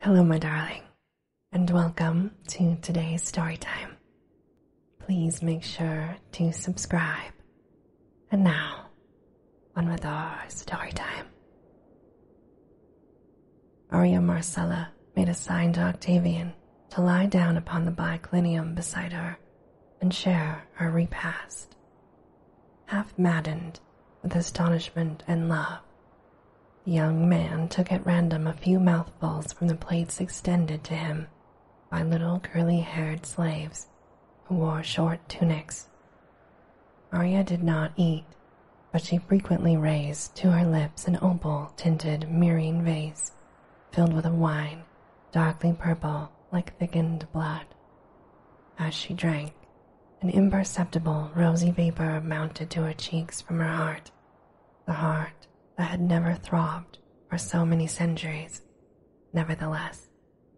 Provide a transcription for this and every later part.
Hello, my darling, and welcome to today's story time. Please make sure to subscribe. And now, on with our story time. Aria Marcella made a sign to Octavian to lie down upon the biclinium beside her and share her repast half maddened with astonishment and love. The young man took at random a few mouthfuls from the plates extended to him by little curly haired slaves who wore short tunics. Arya did not eat, but she frequently raised to her lips an opal tinted mirroring vase filled with a wine darkly purple like thickened blood. As she drank, an imperceptible rosy vapor mounted to her cheeks from her heart, the heart that had never throbbed for so many centuries. Nevertheless,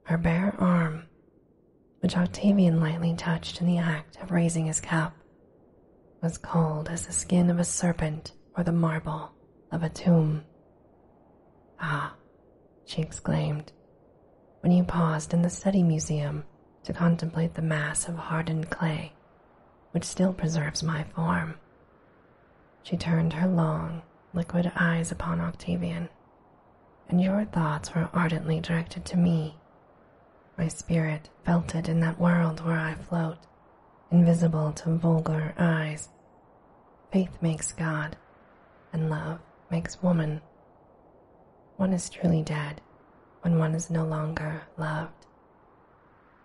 her bare arm, which Octavian lightly touched in the act of raising his cap, was cold as the skin of a serpent or the marble of a tomb. Ah, she exclaimed, when he paused in the study museum to contemplate the mass of hardened clay which still preserves my form. She turned her long, liquid eyes upon Octavian, and your thoughts were ardently directed to me. My spirit felt it in that world where I float, invisible to vulgar eyes. Faith makes God, and love makes woman. One is truly dead when one is no longer loved.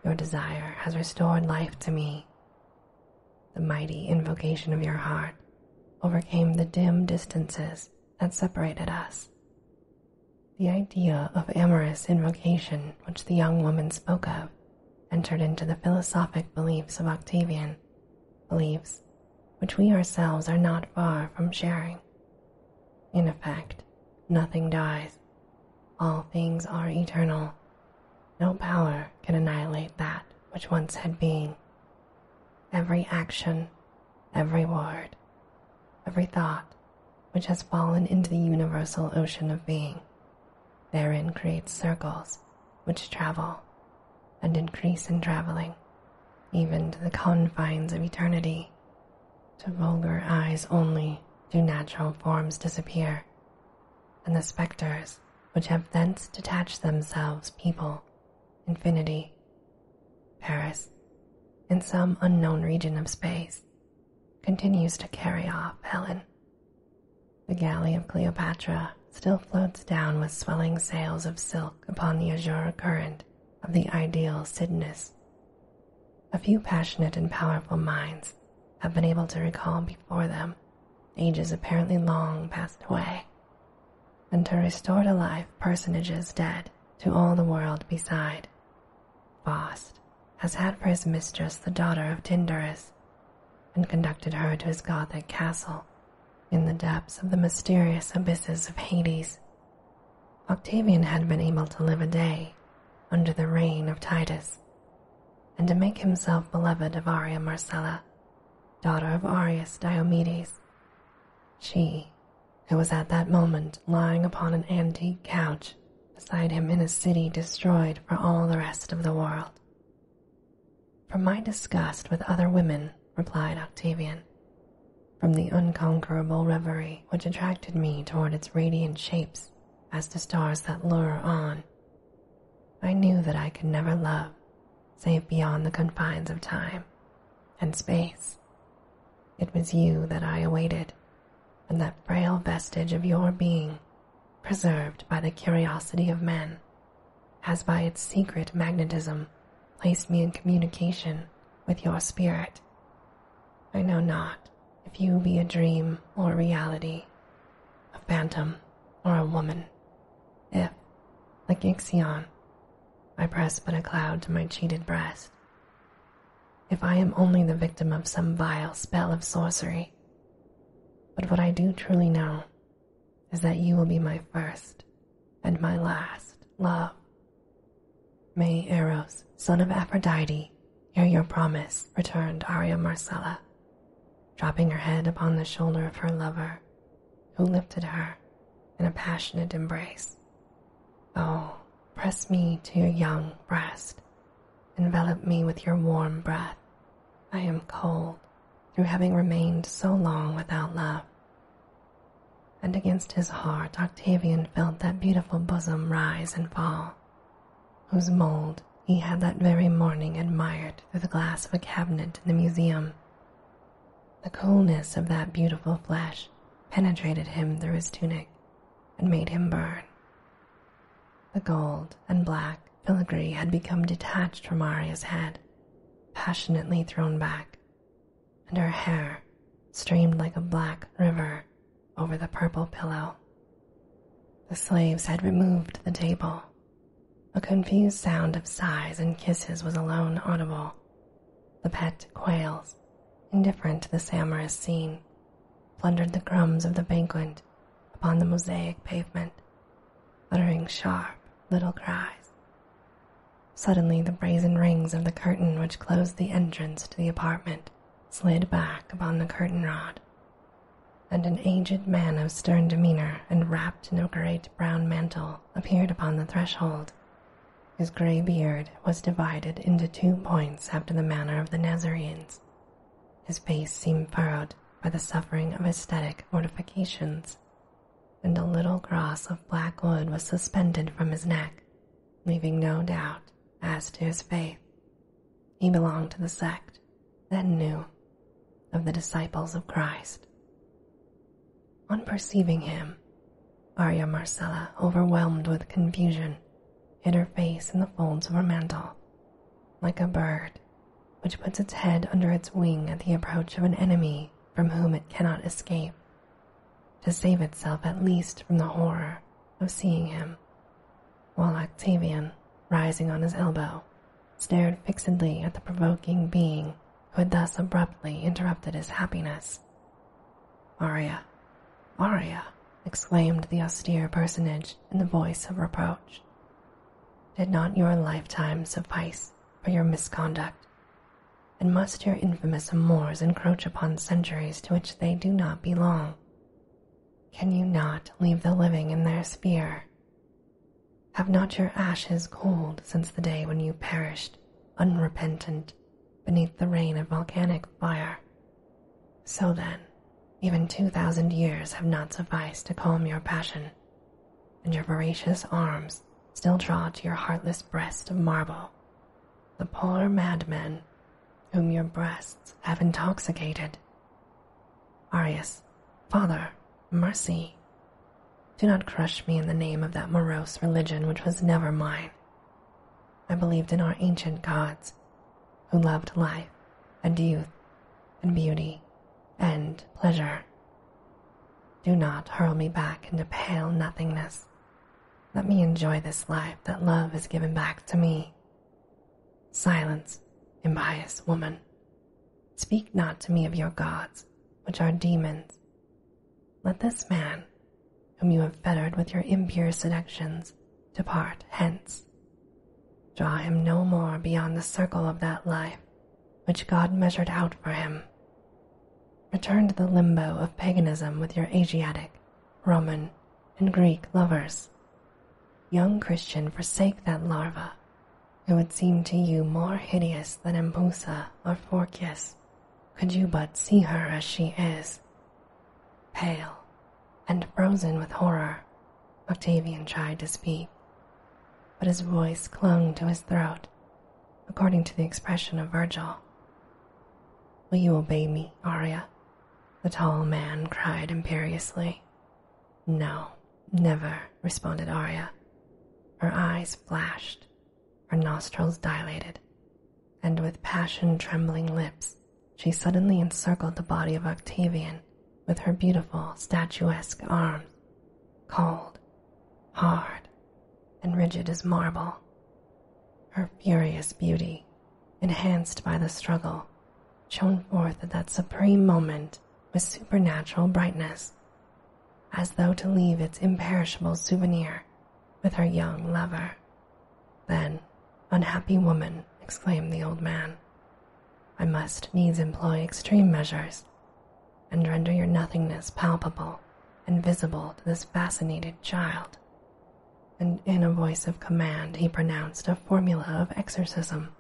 Your desire has restored life to me. The mighty invocation of your heart overcame the dim distances that separated us. The idea of amorous invocation, which the young woman spoke of, entered into the philosophic beliefs of Octavian, beliefs which we ourselves are not far from sharing. In effect, nothing dies, all things are eternal. No power can annihilate that which once had been. Every action, every word, every thought which has fallen into the universal ocean of being therein creates circles which travel and increase in traveling, even to the confines of eternity. To vulgar eyes only do natural forms disappear, and the spectres which have thence detached themselves people infinity, Paris, in some unknown region of space, continues to carry off Helen. The galley of Cleopatra still floats down with swelling sails of silk upon the azure current of the ideal Sidness. A few passionate and powerful minds have been able to recall before them ages apparently long passed away, and to restore to life personages dead to all the world beside. Faust has had for his mistress the daughter of Tyndarus, and conducted her to his Gothic castle in the depths of the mysterious abysses of Hades. Octavian had been able to live a day under the reign of Titus and to make himself beloved of Aria Marcella, daughter of Arius Diomedes. She, who was at that moment lying upon an antique couch beside him in a city destroyed for all the rest of the world, from my disgust with other women, replied Octavian, from the unconquerable reverie which attracted me toward its radiant shapes as to stars that lure on, I knew that I could never love save beyond the confines of time and space. It was you that I awaited, and that frail vestige of your being, preserved by the curiosity of men, has by its secret magnetism placed me in communication with your spirit. I know not if you be a dream or reality, a phantom or a woman, if, like Ixion, I press but a cloud to my cheated breast. If I am only the victim of some vile spell of sorcery, but what I do truly know is that you will be my first and my last love. May Eros, son of Aphrodite, hear your promise, returned Arya Marcella, dropping her head upon the shoulder of her lover, who lifted her in a passionate embrace. Oh, press me to your young breast, envelop me with your warm breath, I am cold through having remained so long without love. And against his heart, Octavian felt that beautiful bosom rise and fall, whose mold he had that very morning admired through the glass of a cabinet in the museum. The coolness of that beautiful flesh penetrated him through his tunic and made him burn. The gold and black filigree had become detached from Aria's head passionately thrown back, and her hair streamed like a black river over the purple pillow. The slaves had removed the table. A confused sound of sighs and kisses was alone audible. The pet quails, indifferent to the amorous scene, plundered the crumbs of the banquet upon the mosaic pavement, uttering sharp little cries. Suddenly, the brazen rings of the curtain which closed the entrance to the apartment slid back upon the curtain rod, and an aged man of stern demeanor and wrapped in a great brown mantle appeared upon the threshold. His gray beard was divided into two points after the manner of the Nazarenes, his face seemed furrowed by the suffering of ecstatic mortifications, and a little cross of black wood was suspended from his neck, leaving no doubt as to his faith. He belonged to the sect that knew of the disciples of Christ. On perceiving him, Arya Marcella, overwhelmed with confusion, hid her face in the folds of her mantle, like a bird which puts its head under its wing at the approach of an enemy from whom it cannot escape, to save itself at least from the horror of seeing him, while Octavian, rising on his elbow, stared fixedly at the provoking being who had thus abruptly interrupted his happiness. Maria, Maria! exclaimed the austere personage in the voice of reproach. Did not your lifetime suffice for your misconduct? And must your infamous amours encroach upon centuries to which they do not belong? Can you not leave the living in their sphere? Have not your ashes cooled since the day when you perished, unrepentant, beneath the rain of volcanic fire? So then, even two thousand years have not sufficed to calm your passion, and your voracious arms still draw to your heartless breast of marble the poor madmen, whom your breasts have intoxicated. Arius, Father, mercy. Do not crush me in the name of that morose religion which was never mine. I believed in our ancient gods who loved life and youth and beauty and pleasure. Do not hurl me back into pale nothingness. Let me enjoy this life that love has given back to me. Silence, impious woman. Speak not to me of your gods, which are demons. Let this man, whom you have fettered with your impure seductions, Depart hence. Draw him no more beyond the circle of that life which God measured out for him. Return to the limbo of paganism with your Asiatic, Roman, and Greek lovers. Young Christian, forsake that larva. It would seem to you more hideous than Ambusa or Phorcys, could you but see her as she is. Pale, and frozen with horror, Octavian tried to speak, but his voice clung to his throat, according to the expression of Virgil. Will you obey me, Aria? The tall man cried imperiously. No, never, responded Aria. Her eyes flashed, her nostrils dilated, and with passion trembling lips she suddenly encircled the body of Octavian with her beautiful, statuesque arms, cold, hard, and rigid as marble. Her furious beauty, enhanced by the struggle, shone forth at that supreme moment with supernatural brightness, as though to leave its imperishable souvenir with her young lover. Then, unhappy woman, exclaimed the old man, I must needs employ extreme measures and render your nothingness palpable and visible to this fascinated child. And in a voice of command, he pronounced a formula of exorcism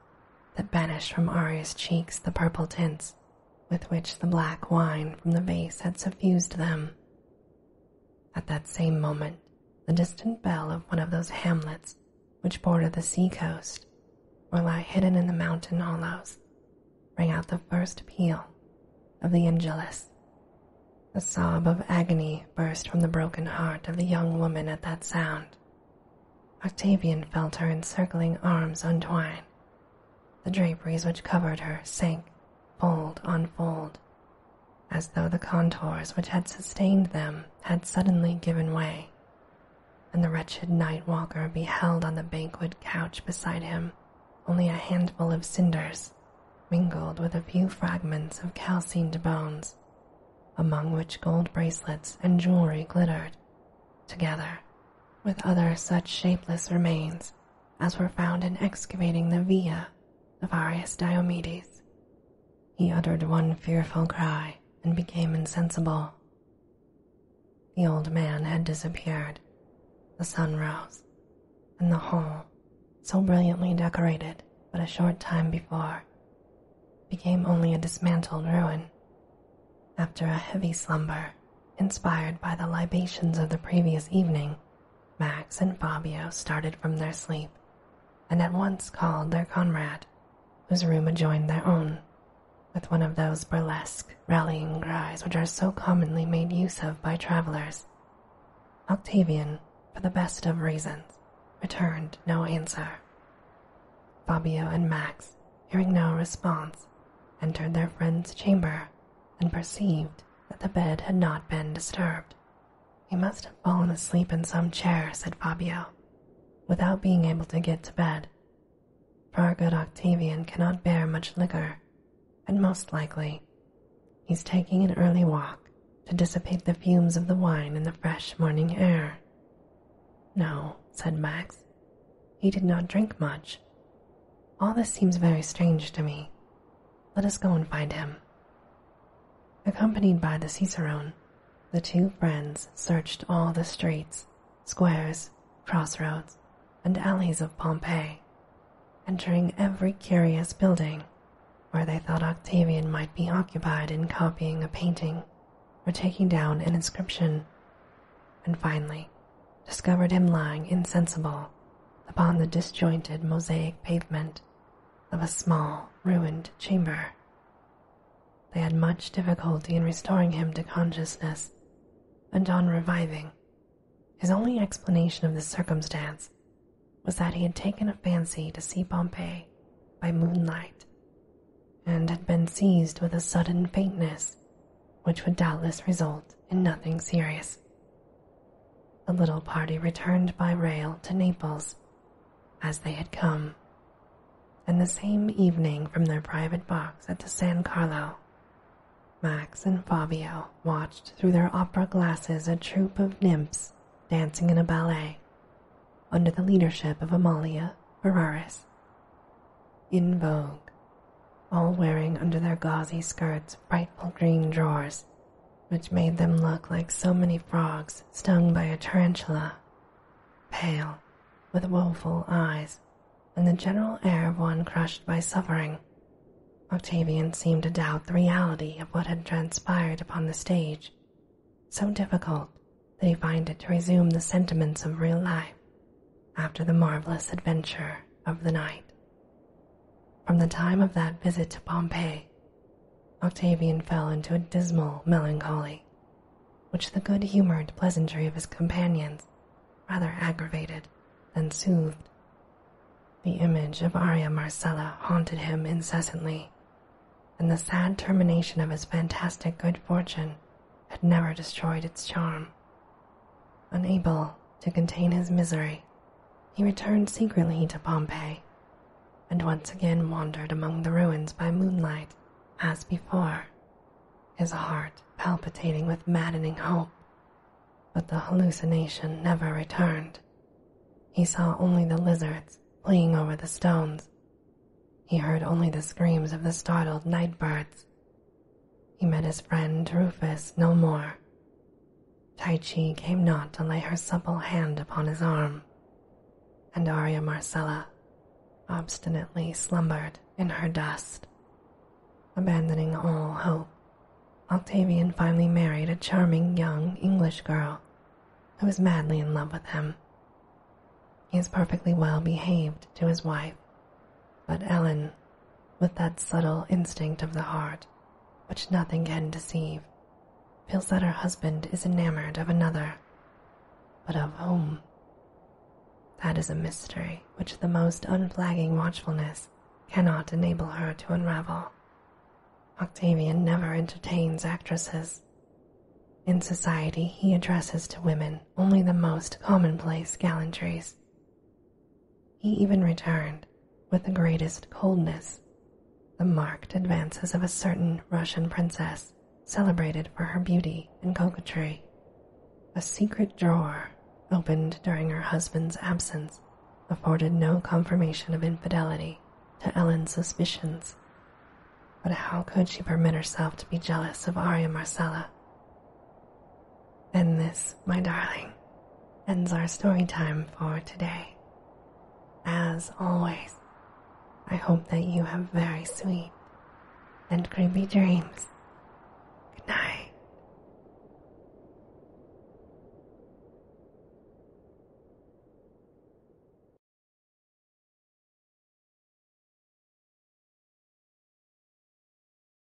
that banished from Aria's cheeks the purple tints with which the black wine from the vase had suffused them. At that same moment, the distant bell of one of those hamlets which border the sea-coast or lie hidden in the mountain hollows rang out the first peal of the angelus. A sob of agony burst from the broken heart of the young woman at that sound. Octavian felt her encircling arms untwine. The draperies which covered her sank, fold on fold, as though the contours which had sustained them had suddenly given way, and the wretched night walker beheld on the banquet couch beside him only a handful of cinders mingled with a few fragments of calcined bones, among which gold bracelets and jewelry glittered, together with other such shapeless remains as were found in excavating the villa of Arius Diomedes. He uttered one fearful cry and became insensible. The old man had disappeared. The sun rose, and the hall, so brilliantly decorated but a short time before, became only a dismantled ruin. After a heavy slumber, inspired by the libations of the previous evening, Max and Fabio started from their sleep and at once called their comrade, whose room adjoined their own, with one of those burlesque rallying cries which are so commonly made use of by travellers. Octavian, for the best of reasons, returned no answer. Fabio and Max, hearing no response, entered their friend's chamber and perceived that the bed had not been disturbed. He must have fallen asleep in some chair, said Fabio, without being able to get to bed. For our good Octavian cannot bear much liquor, and most likely he's taking an early walk to dissipate the fumes of the wine in the fresh morning air. No, said Max, he did not drink much. All this seems very strange to me. Let us go and find him. Accompanied by the cicerone, the two friends searched all the streets, squares, crossroads, and alleys of Pompeii, entering every curious building where they thought Octavian might be occupied in copying a painting or taking down an inscription, and finally discovered him lying insensible upon the disjointed mosaic pavement of a small, ruined chamber. They had much difficulty in restoring him to consciousness, and on reviving, his only explanation of the circumstance was that he had taken a fancy to see Pompeii by moonlight and had been seized with a sudden faintness, which would doubtless result in nothing serious the little party returned by rail to Naples as they had come, and the same evening from their private box at the San Carlo, Max and Fabio watched through their opera glasses a troupe of nymphs dancing in a ballet under the leadership of Amalia Ferraris. In vogue, all wearing under their gauzy skirts frightful green drawers which made them look like so many frogs stung by a tarantula, pale, with woeful eyes, and the general air of one crushed by suffering. Octavian seemed to doubt the reality of what had transpired upon the stage, so difficult that he find it to resume the sentiments of real life after the marvelous adventure of the night. From the time of that visit to Pompeii, Octavian fell into a dismal melancholy, which the good humored pleasantry of his companions rather aggravated than soothed. The image of Aria Marcella haunted him incessantly, and the sad termination of his fantastic good fortune had never destroyed its charm. Unable to contain his misery, he returned secretly to Pompeii and once again wandered among the ruins by moonlight as before, his heart palpitating with maddening hope. But the hallucination never returned. He saw only the lizards playing over the stones. He heard only the screams of the startled night birds, he met his friend Rufus no more. Taichi came not to lay her supple hand upon his arm, and Aria Marcella obstinately slumbered in her dust. Abandoning all hope, Octavian finally married a charming young English girl who was madly in love with him. He is perfectly well behaved to his wife, but Ellen with that subtle instinct of the heart which nothing can deceive, feels that her husband is enamored of another, but of whom? That is a mystery which the most unflagging watchfulness cannot enable her to unravel. Octavian never entertains actresses. In society, he addresses to women only the most commonplace gallantries, he even returned, with the greatest coldness, the marked advances of a certain Russian princess celebrated for her beauty and coquetry. A secret drawer, opened during her husband's absence, afforded no confirmation of infidelity to Ellen's suspicions. But how could she permit herself to be jealous of Arya Marcella? And this, my darling, ends our story time for today. As always, I hope that you have very sweet and creepy dreams. Good night.